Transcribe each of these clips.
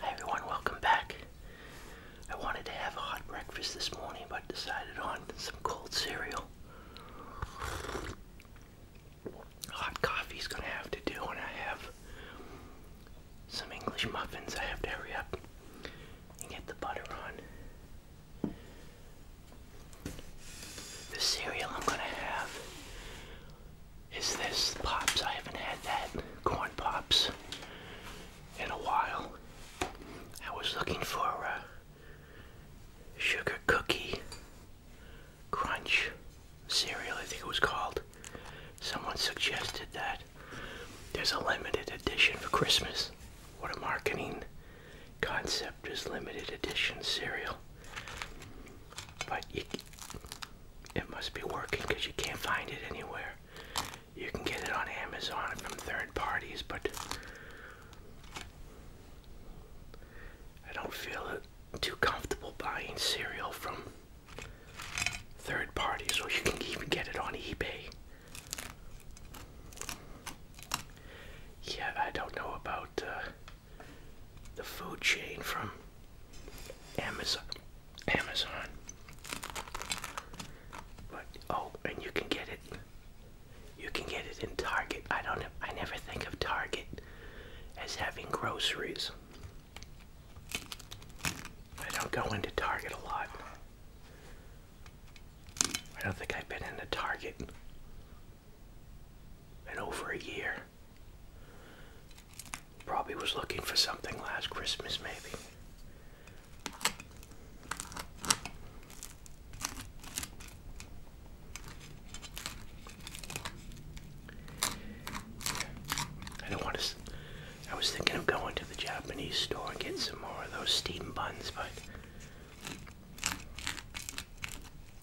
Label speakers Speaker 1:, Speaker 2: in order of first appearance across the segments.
Speaker 1: Hi everyone, welcome back. I wanted to have a hot breakfast this morning but decided on some cold cereal. Hot coffee is going to have to do and I have some English muffins. I have to hurry up and get the butter on. The cereal I'm going to have is this Pops. I haven't had that. Corn Pops in a while. I was looking for a sugar cookie crunch cereal, I think it was called. Someone suggested that there's a limited edition for Christmas. What a marketing concept is limited edition cereal. But it must be working because you can't find it anywhere. You can get it on Amazon from third parties, but I don't feel too comfortable buying cereal from third parties, or you can even get it on eBay. Yeah, I don't know about uh, the food chain from Amazon. Amazon. oh, and you can get it. You can get it in Target. I don't. I never think of Target as having groceries. I don't go into Target a lot. I don't think I've been in a Target in over a year. Probably was looking for something last Christmas, maybe. I don't want to. I was thinking of going to the Japanese store and get some more of those steam buns, but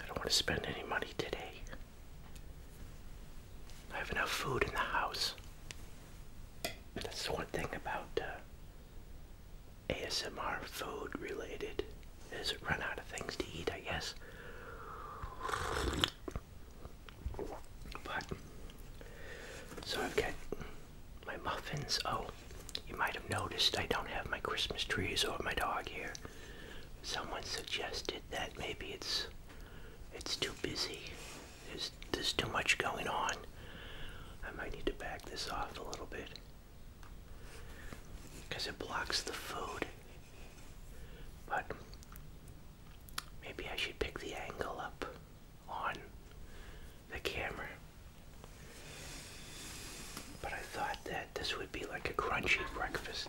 Speaker 1: I don't want to spend any money today. I have enough food in the house. That's the one thing about uh, ASMR food related is run out of things to eat, I guess. But so I've got my muffins. Oh, you might have noticed I don't have my Christmas trees or my dog here. Someone suggested that. Maybe it's it's too busy. There's there's too much going on. I might need to back this off a little bit because it blocks the food. But maybe I should pick the angle up on the camera. But I thought that this would be like a crunchy breakfast.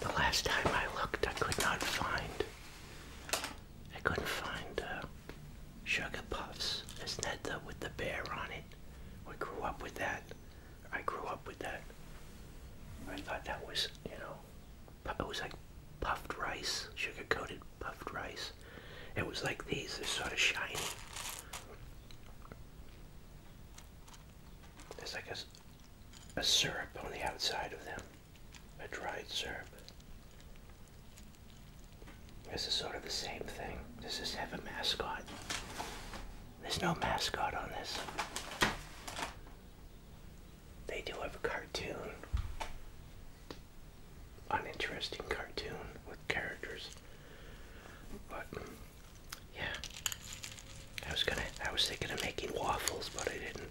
Speaker 1: The last time I looked, I could not find. I couldn't find uh, sugar puffs. Isn't with the bear on it? We grew up with that. I grew up with that. I thought that was, you know, it was like puffed rice, sugar coated puffed rice. It was like these, they're sort of shiny. There's like a, a syrup on the outside of them, a dried syrup. This is sort of the same thing. Does this have a mascot? There's no mascot on this. They do have a cartoon. An interesting cartoon with characters. But yeah, I was gonna, I was thinking of making waffles, but I didn't.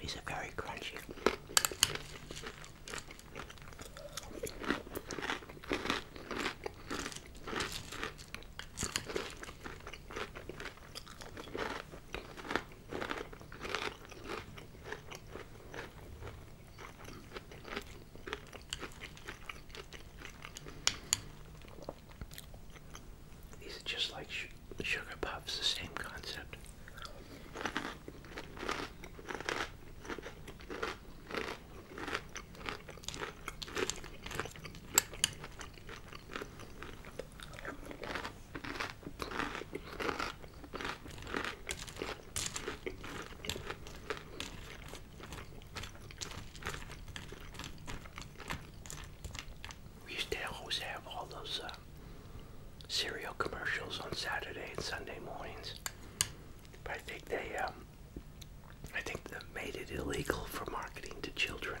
Speaker 1: These are very crunchy. These are just like sugar puffs, the same concept. We used to always have all those uh, cereal commercials on Saturday and Sunday mornings. But I think they, um, I think that made it illegal for marketing to children.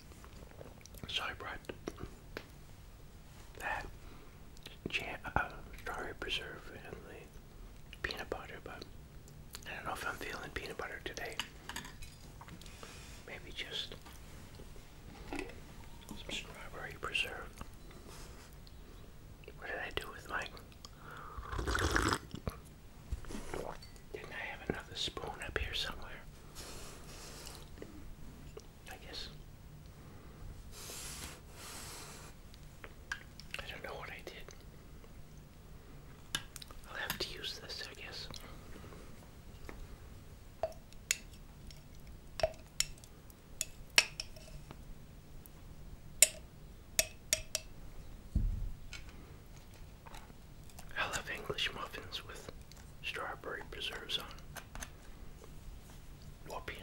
Speaker 1: So bright. That jam, uh, strawberry preserve and the peanut butter, but I don't know if I'm feeling peanut butter today. Maybe just some strawberry preserve. What did I do with my didn't I have another spoon up here somewhere? I guess. I don't know what I did. I'll have to use this, I guess. I love English muffins with strawberry preserves on, or peanut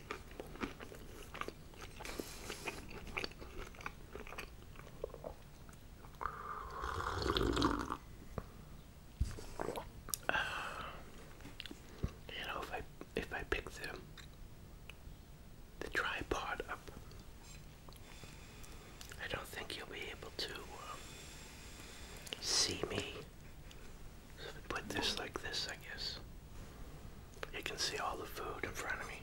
Speaker 1: you know, if I if I pick the the tripod up, I don't think you'll be able to um, see me. put this like this, I guess. You can see all the food in front of me.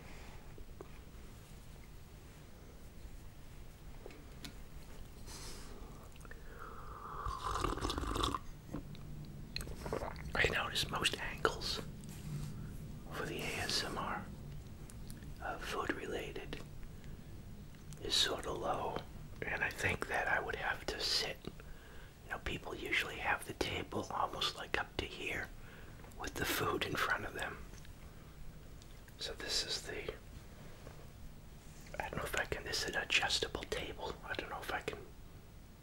Speaker 1: I notice most angles for the ASMR uh, food related is sort of low, and I think that I would have to sit you know, people usually have the table almost like up to here with the food in front of them. So this is the, I don't know if I can, this is an adjustable table. I don't know if I can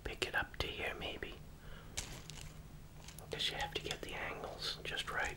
Speaker 1: pick it up to here maybe. Because you have to get the angles just right.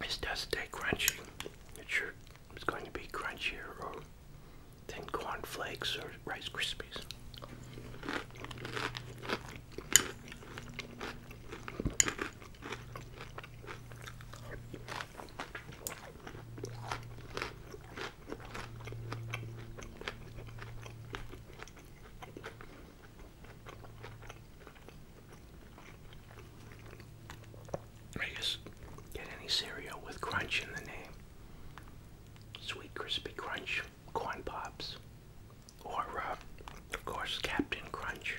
Speaker 1: This does stay crunchy. It sure is going to be crunchier than corn flakes or Rice Krispies. I just get any cereal with crunch in the name. Sweet Crispy Crunch, Corn Pops, or, uh, of course, Captain Crunch.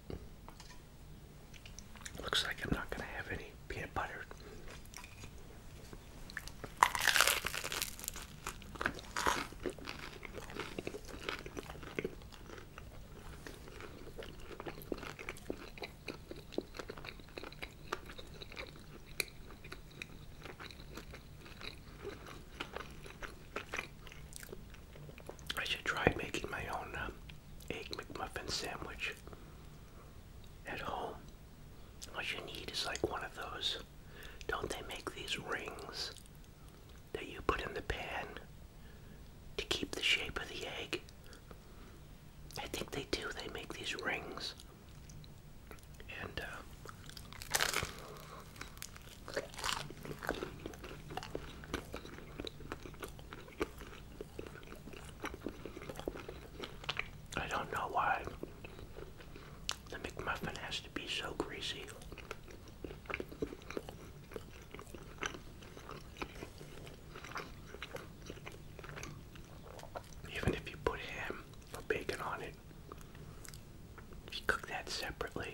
Speaker 1: Looks like I'm not going to have any peanut butter. I should try making my own um, egg McMuffin sandwich at home. What you need is like one of those. Don't they make these rings that you put in the pan to keep the shape of the egg? I think they do. They make these rings. And uh, I don't know why the McMuffin has to be so greasy. Even if you put ham or bacon on it, just cook that separately.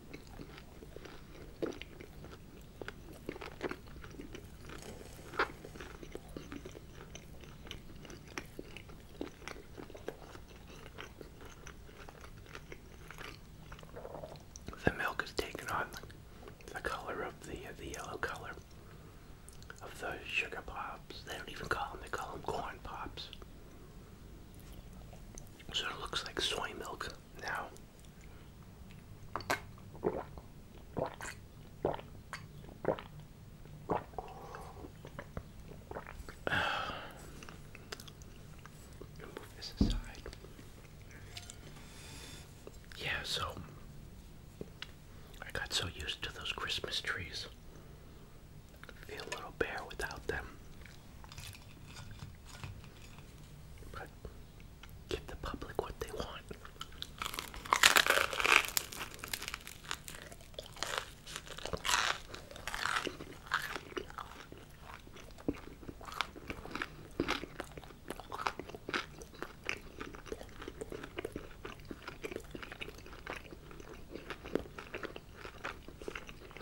Speaker 1: The milk has taken on the color of the the yellow color of the sugar pops. They don't even call them; they call them corn pops. Sort of looks like soy milk now. Yeah, so I got so used to those Christmas trees feel a little bare without them. But give the public what they want.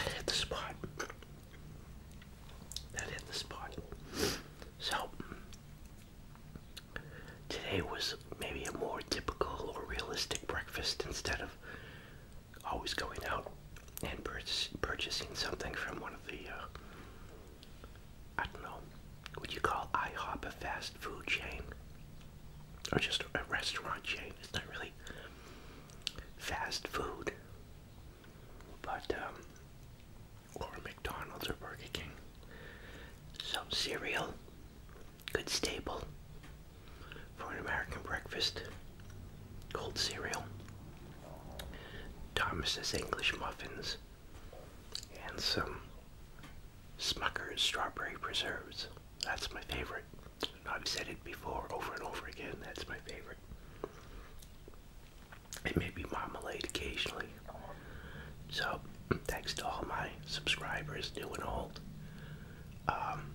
Speaker 1: hit the spot. hit the spot. So Today was maybe a more typical or realistic breakfast instead of always going out and purchasing something from one of the, uh, I don't know, would you call IHOP a fast food chain? Or just a restaurant chain? It's not really fast food, but, um, or McDonald's or Burger King. Some cereal good staple for an American breakfast. Cold cereal, Thomas's English muffins, and some Smucker's strawberry preserves. That's my favorite. I've said it before over and over again. That's my favorite. And maybe marmalade occasionally. So, thanks to all my subscribers, new and old. Um,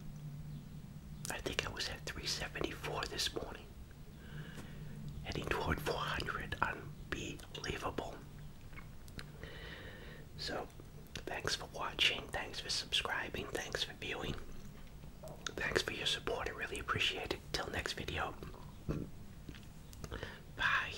Speaker 1: I think I was at 374 this morning, heading toward 400. Unbelievable. So, thanks for watching, thanks for subscribing, thanks for viewing, thanks for your support. I really appreciate it. Till next video. Bye.